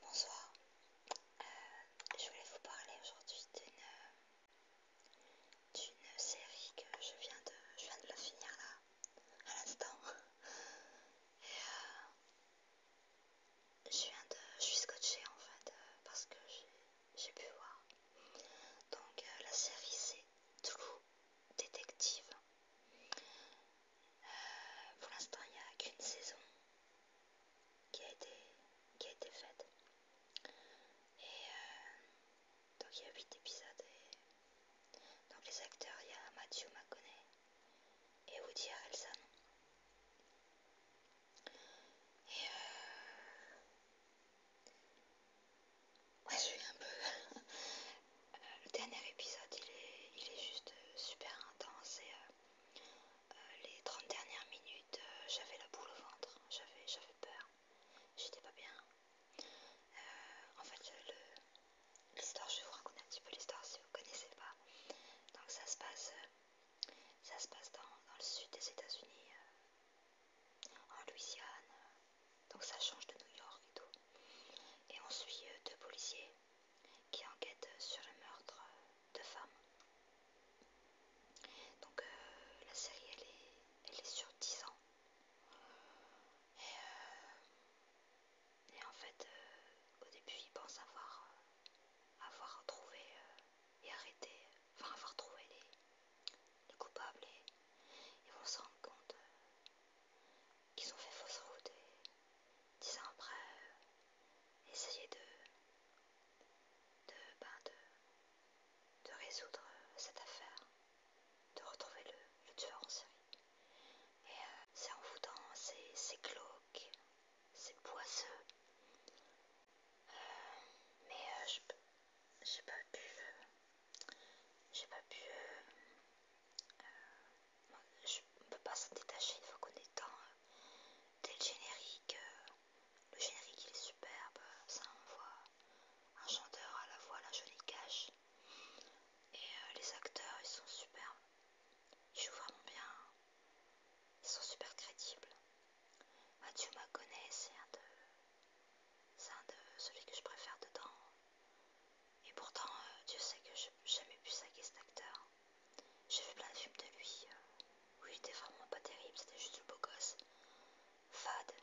Bonsoir, euh, je voulais vous parler aujourd'hui euh, d'une série que je viens de, je viens de la finir là à l'instant. Et euh, je, viens de, je suis scotchée en fait euh, parce que j'ai pu voir. Donc euh, la série c'est True Détective. pour l'instant il n'y a qu'une saison qui a été, qui été faite. Et donc il y a 8 épisodes. Et... Donc les acteurs, il y a Matthew McConaughey et Woody Harrelson. Et euh... ouais, je suis un peu. Le dernier épisode, il est, il est juste euh, super intense et euh, euh, les 30 dernières minutes, j'avais la boule au ventre, j'avais peur, j'étais pas bien. Euh, en fait, l'histoire, je vous raconter un petit peu l'histoire si vous ne connaissez pas. Donc ça se passe, euh, ça se passe dans, le sud des États-Unis, euh, en Louisiane. Donc ça change de New York et tout. Et on suit deux policiers qui enquêtent sur le meurtre de femmes. Donc la série elle est, elle est sur 10 ans. Euh, et, en fait, euh, au début, ils pensent avoir, euh, trouvé et arrêté, enfin avoir trouvé les, coupables et ils vont se rendre compte qu'ils ont fait fausse route et dix ans après, essayer de, de, ben, de, résoudre cette affaire de retrouver le, tueur en série. Et euh, c'est envoûtant, c'est glauque, c'est poisseux. Euh, mais euh, j'ai pas pu euh, j'ai pas pu je peux pas s'en détacher il faut qu'on est dans, générique le générique il est superbe, ça envoie un chanteur à la voix, la jolie cache. Et euh, les acteurs ils sont superbes, ils jouent vraiment bien, ils sont super crédibles. Mathieu Maconnais c'est un de, c'est un de celui que je préfère dedans. Et pourtant euh, Dieu sait que je jamais pu saquer cet acteur. J'ai vu plein de films de lui euh, où il était vraiment pas terrible, c'était juste le beau gosse fade,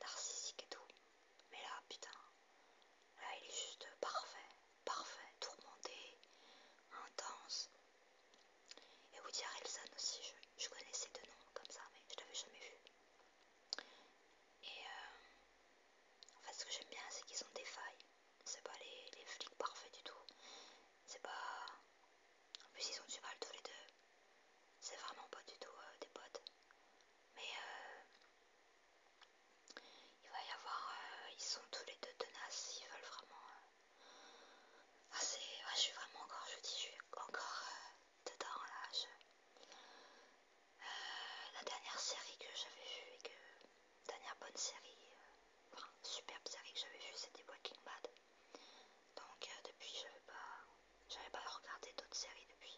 narcissique et tout. Mais là, putain, là il est juste parfait, parfait, tourmenté, intense. Et Woody Harrelson aussi, je, connaissais deux noms, comme ça, mais je l'avais jamais vu. Et euh, en fait, ce que j'aime bien, c'est qu'ils ont des failles. C'est pas les flics parfaits du tout. C'est pas. En plus, ils ont du mal tous les deux. C'est vraiment pas du tout euh, des potes. Mais euh, il va y avoir. Euh, ils sont tous les deux tenaces. Ils veulent vraiment. Ah, c'est. Ah, je suis vraiment encore. Je dis, je suis encore dedans là. la dernière série que j'avais vue et que. Dernière bonne série superbe série que j'avais vu, c'était Walking Bad. Donc euh, depuis, j'avais pas, j'avais pas regardé d'autres séries depuis.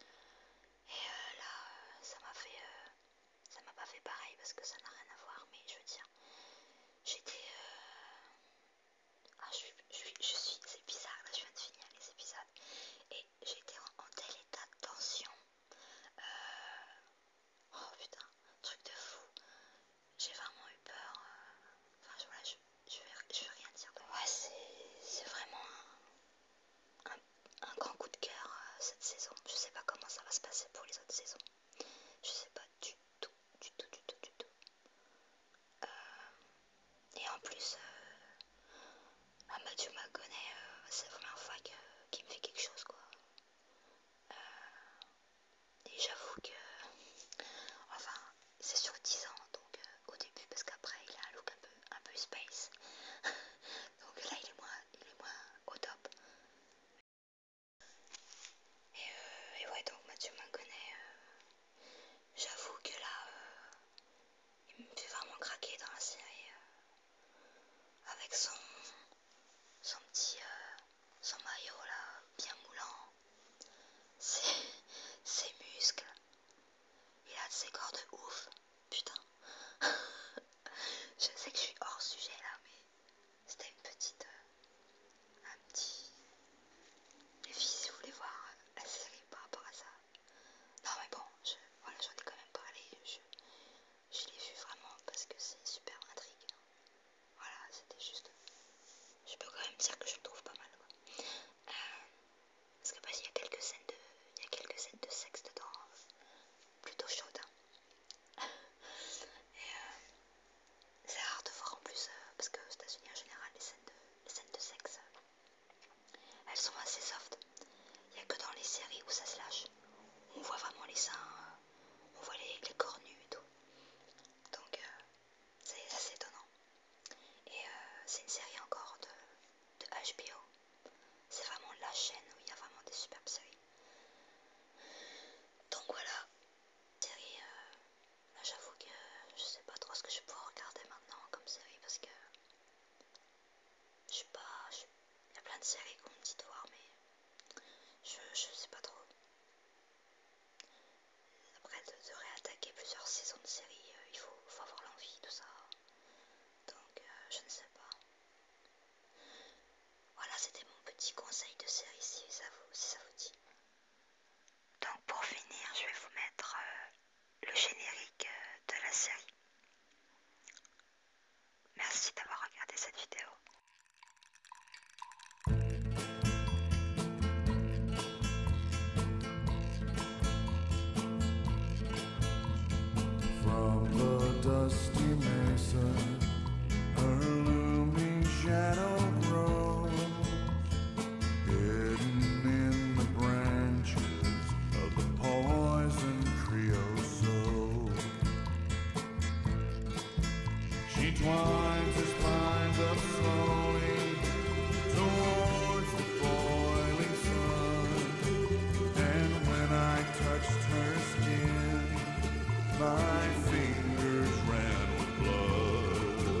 Et euh, là, euh, ça m'a fait, ça m'a pas fait pareil parce que ça n'a rien à voir. Mais je veux dire, j'étais, ah, je suis, c'est bizarre. Là, je viens de finir les épisodes et j'étais en, tel état de tension. Euh, Oh putain, truc de fou. J'ai vraiment eu peur. Euh, enfin voilà, je, vais, je vais rien dire. Ouais, c'est vraiment un, un, grand coup de cœur euh, cette saison. Je sais pas comment ça va se passer pour les autres saisons. Je sais pas du tout, du tout, du tout, du tout. Euh, et en plus, euh, ah, Mathieu c'est la première fois qui me fait quelque chose quoi. Euh, et j'avoue que, enfin, c'est sur 10 ans, donc euh, au début, parce qu'après il a un look un peu, space. donc là, il est moins, moins au top. Et, euh, et ouais, donc Mathieu m'en euh, j'avoue que là, il me fait vraiment craquer dans la série avec son, son petit euh, son maillot là, bien moulant, ses, ses muscles, il a ses corps de ouf, putain. je sais que je suis hors sujet là, mais c'était une petite, euh, un petit. Les filles, si vous voulez voir euh, la série par rapport à ça. Non mais bon, je, voilà, j'en ai quand même parlé je l'ai vu vraiment parce que c'est super intrigue. Voilà, c'était juste. Je peux quand même dire que je le trouve pas mal. Quoi. Euh, parce que bah, il y a quelques scènes de, quelques de sexe dedans, plutôt chaudes. Hein. Et euh, c'est rare de voir en plus, euh, parce que aux États-Unis en général, les scènes de, les scènes de sexe, elles sont assez soft. Il y a que dans les séries où ça se lâche, on voit vraiment les seins, on voit les, corps nus et tout. Donc euh, c'est assez étonnant. Et euh, c'est une série encore de, HBO. C'est vraiment la chaîne où il y a vraiment des superbes séries. Donc voilà, série, euh, j'avoue que je sais pas trop ce que je pouvoir regarder maintenant comme série parce que je sais pas, il y a plein de séries qu'on me dit de voir, mais je, je sais pas trop. Après, de, réattaquer plusieurs saisons de séries, euh, il faut, avoir l'envie, tout ça. Donc, euh, je ne sais pas. Voilà, c'était mon petit conseil de série si ça vous, ça vous dit. Donc, pour finir, je vais vous mettre. Euh, le générique euh, de la série. Merci d'avoir regardé cette vidéo. From the dusty Mason a looming shadow grows, hidden in the branches. of the poison creosote. She twines her spines up slowly towards the boiling sun, and when I touched her skin, my fingers ran with blood.